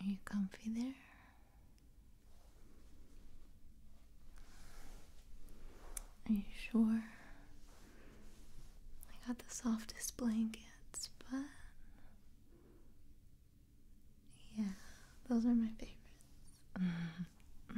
Are you comfy there? Are you sure? I got the softest blankets, but yeah, those are my favorites.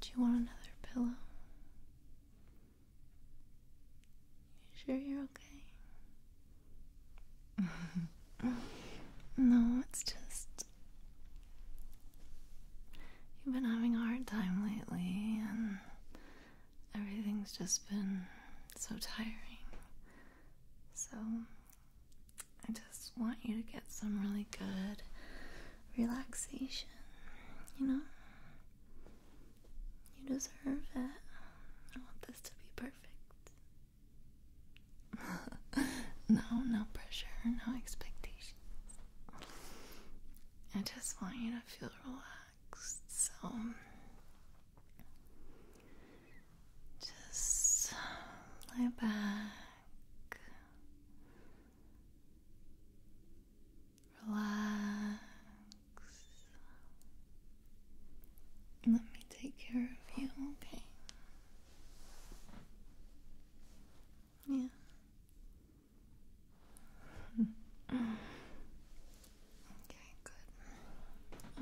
Do you want another pillow? You sure you're okay? no, it's just. You've been having a hard time lately, and everything's just been so tiring. So, I just want you to get some really good relaxation, you know? You deserve it. I want this to be perfect. no, no pressure, no expectations. I just want you to feel relaxed, so. Just lay back. Relax. Let me take care of you, okay? Yeah. okay, good.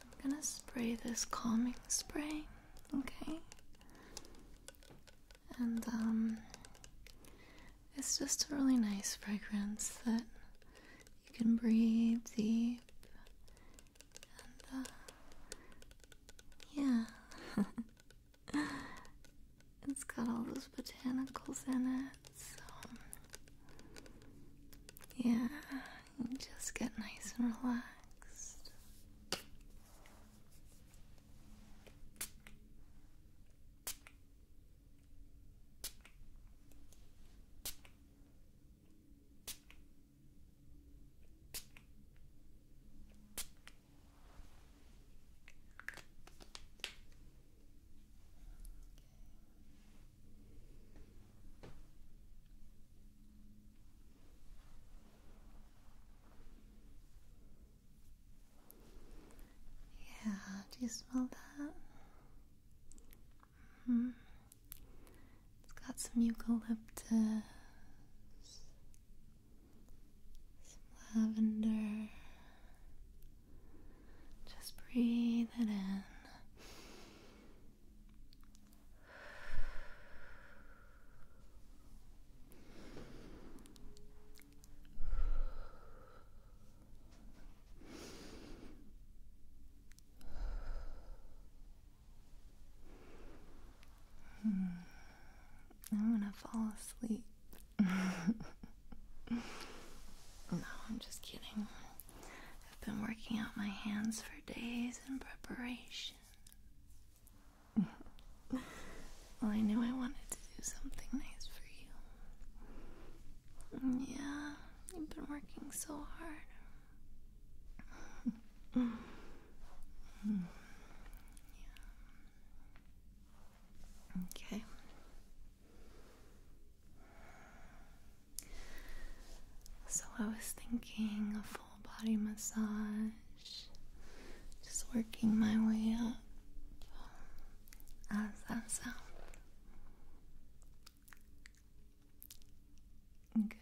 I'm gonna spray this calming spray, okay? And um, it's just a really nice fragrance that you can breathe deep and uh yeah It's got all those botanicals in it, so yeah. Just get nice and relaxed. Yeah, do you smell that? hmm It's got some eucalyptus, some lavender. Just breathe it in. Hmm. I am going to fall asleep. no, I'm just kidding. I've been working out my hands for days in preparation. well, I knew I wanted to do something nice for you. Yeah, you've been working so hard. Okay. So I was thinking a full body massage, just working my way up. How does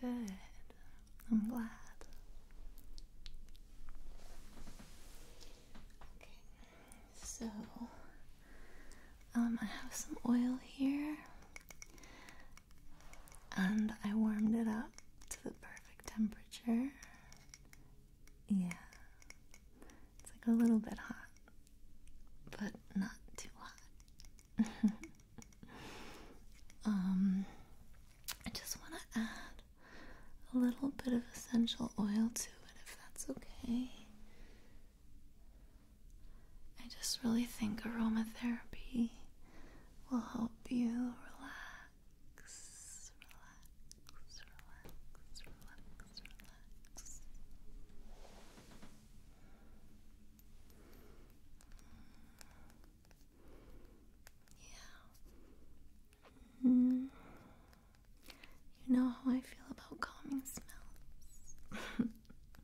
Good. I'm glad. Okay, so um, I have some oil here and I warmed it up to the perfect temperature. Yeah, it's like a little bit hot, but not too hot. um, I just want to add a little bit of essential oil to it if that's okay. I just really think aromatherapy will help you relax, mm. Yeah. Mm. You know how I feel about calming smells.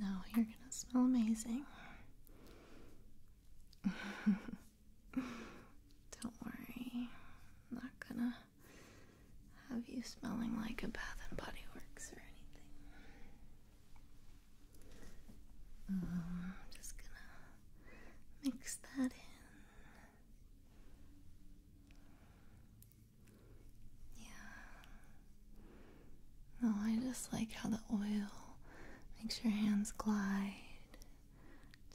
No, you're gonna smell amazing. Don't worry, I'm not gonna have you smelling like a Bath and Body Works or anything. Um, I'm just gonna mix that in. Yeah. No, I just like how the oil makes your hands glide.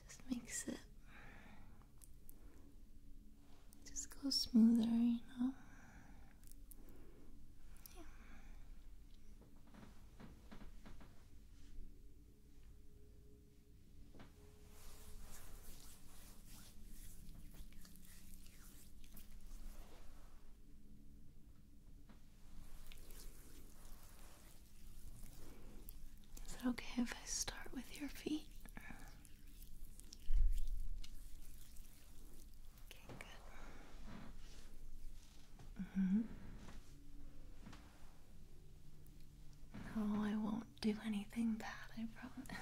Just makes it just go smoother, you know. Yeah. Is it okay if I start with your feet? Okay, good. hmm No, I won't do anything bad, I promise.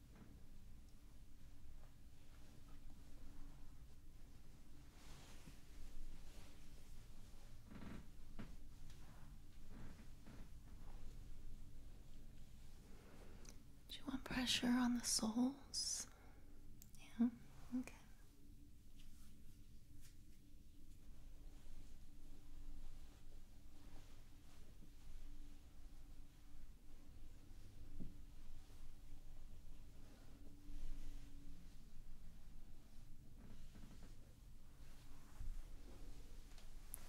Do you want pressure on the soles? Yeah, okay.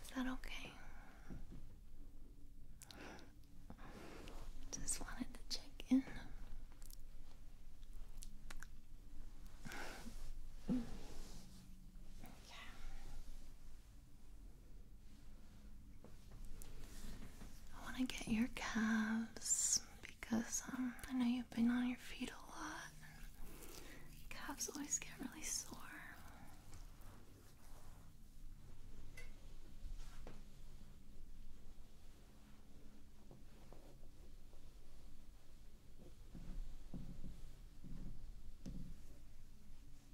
Is that okay? Just wanted to check in. Okay. I want to get your calves because um, I know you've been on your feet a lot. Calves always get really sore.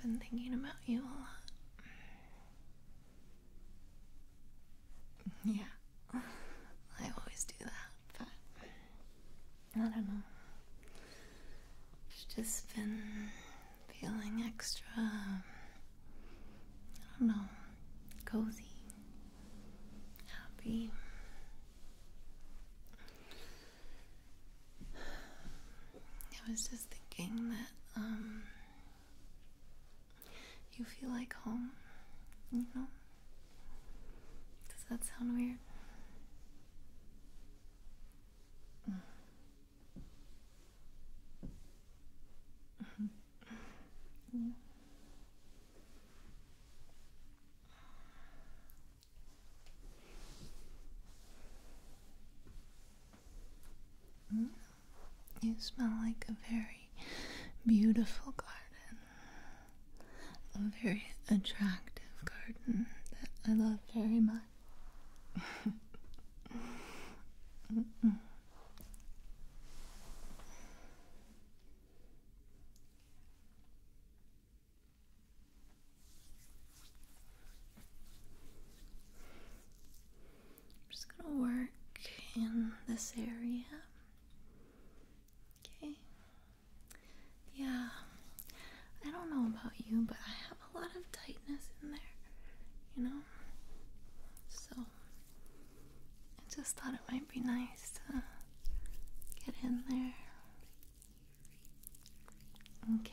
I've been thinking about you a lot. Yeah, I always do that, I don't know. It's just been feeling extra, I don't know, cozy, happy. I was just thinking that, um, you feel like home, you know? Does that sound weird? Mm-hmm. You smell like a very beautiful garden, a very attractive garden that I love very much. I'm just going to work in this area. Okay. Yeah, I don't know about you, but I have a lot of tightness in there, you know? So, I just thought it might be nice to get in there. Okay,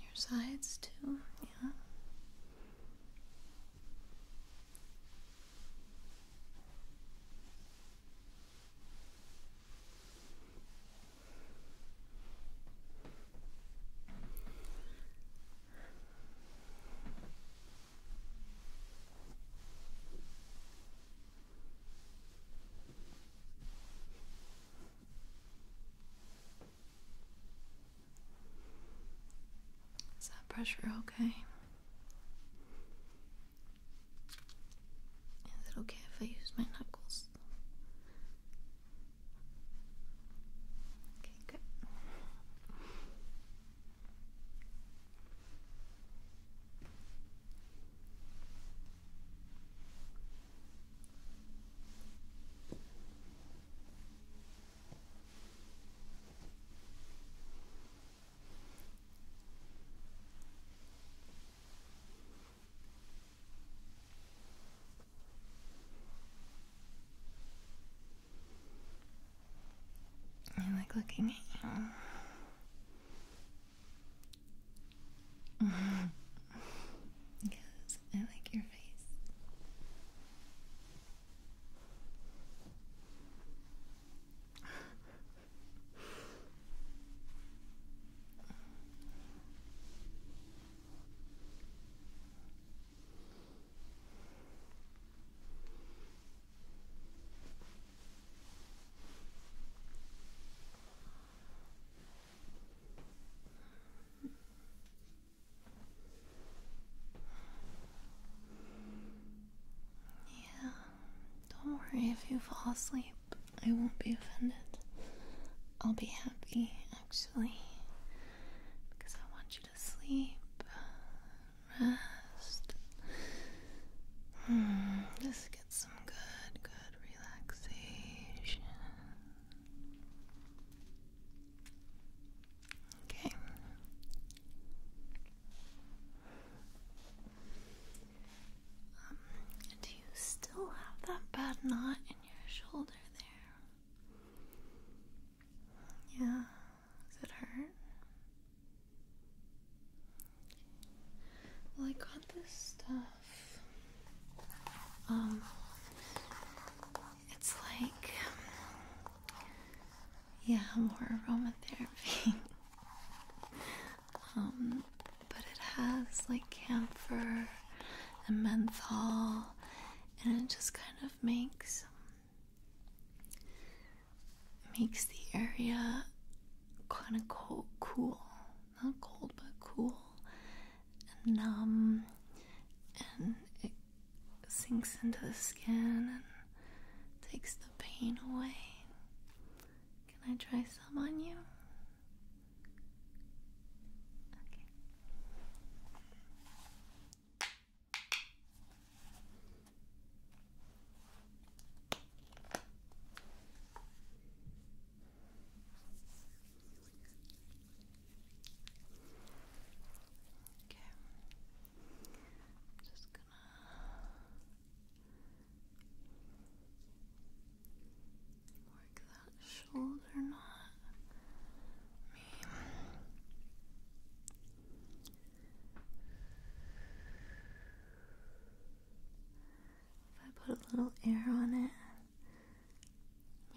your sides too, yeah. Is that pressure okay? Is it okay if I use my knuckles? Okay, good. I like looking at you yes, I like your face. Yeah, don't worry if you fall asleep. I won't be offended. I'll be happy, actually, because I want you to sleep rest. Hmm, just get some good, good relaxation. Okay. Um, do you still have that bad knot in your shoulder there? Yeah. Does it hurt? Well, I got this stuff. Um, it's like, yeah, more aromatherapy. um, but it has like camphor and menthol, and it just kind of makes makes the area kind of cool, not cold, but cool and numb, and it sinks into the skin and takes the pain away. Can I try some on you? Okay. I'm just gonna work that shoulder knot. If I put a little air on it,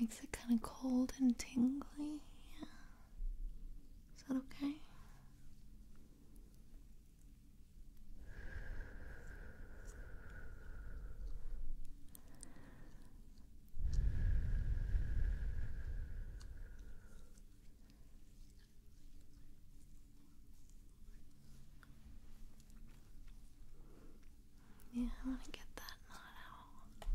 makes it kind of cold and tingly. Yeah. Is that okay? Yeah, I want to get that knot out.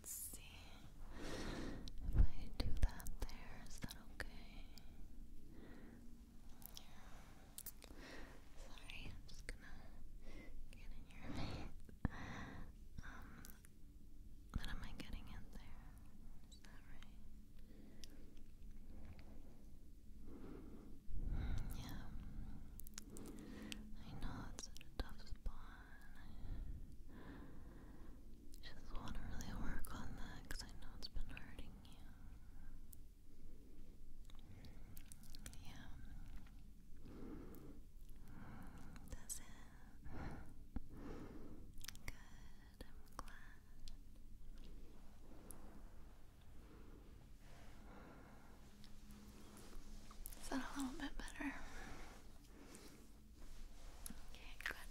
Let's see if I do that there. Is that okay? Yeah. Sorry, I'm just gonna get in your face. Um, what am I getting in there? Is that right? Yeah. I know it's such a tough spot. just want to really work on that because I know it's been hurting you. Yeah. That's Good. I'm glad. Is that a little bit better? Okay, good.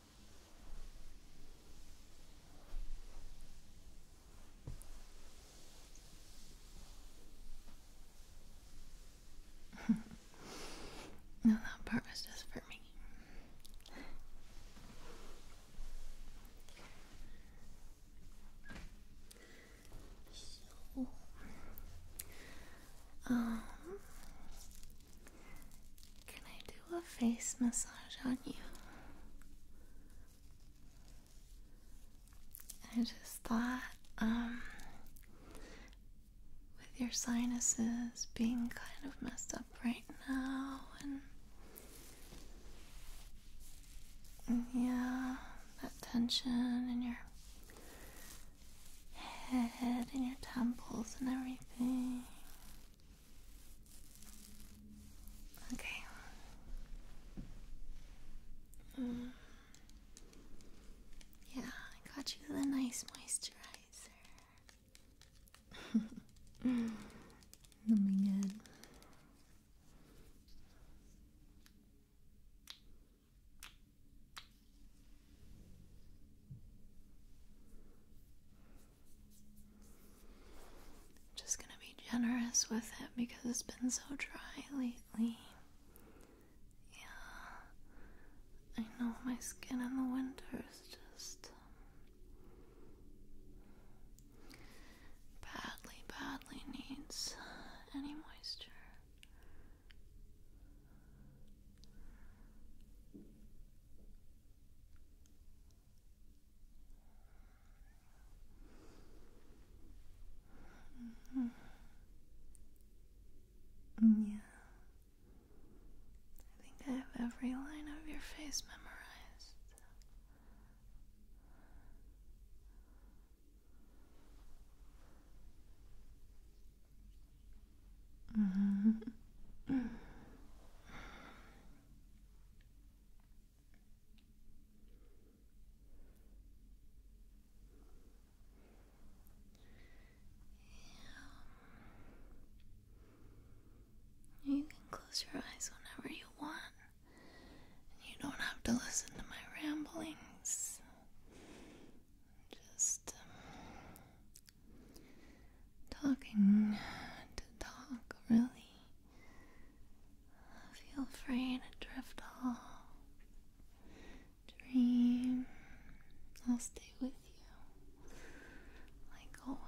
no, that part was just for me. So, um, can I do a face massage on you? I just thought, um, with your sinuses being kind of messed up right now, and yeah, that tension in your head and your temples and everything. Okay. Mm. Yeah, I got you the nice moisturizer. That'll be I'm just gonna be generous with it because it's been so dry lately. Yeah, I know my skin in the winter is just badly, badly needs any moisture. Yeah. I think I have every line of your face memorized. Mm-hmm. You can close your eyes whenever you want. You don't have to listen to my ramblings. Just um, talking to talk, really. Feel free to drift off. Dream. I'll stay with you. Like always.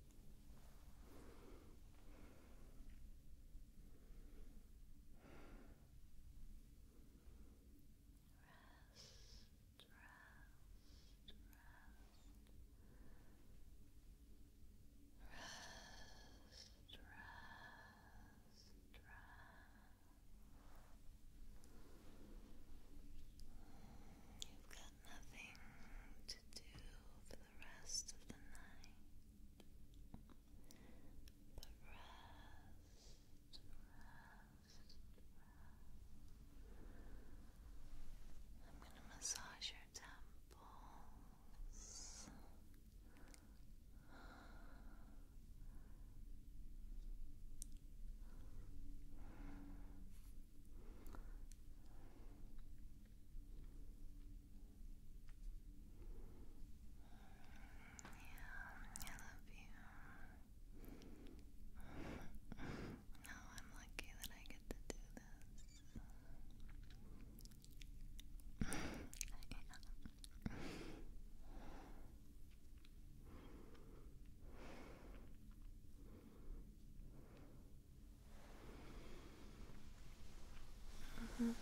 rest, rest, rest, rest. You've nothing to do for the rest of the night but rest, rest, rest. I'm going to massage your temples. I love you. no, I'm lucky that I get to do this. Mm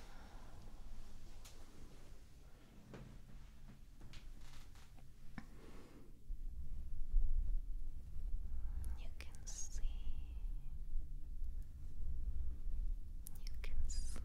You can see. You can sleep. You can sleep.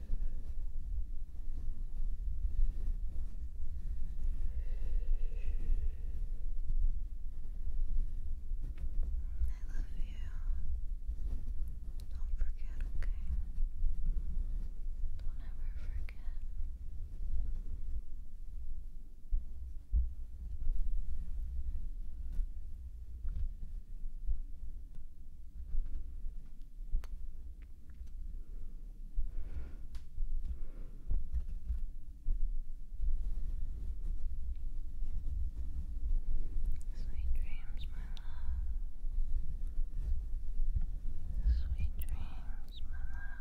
Don't forget, okay? Don't ever forget. Sweet dreams, my love. Sweet dreams, my love.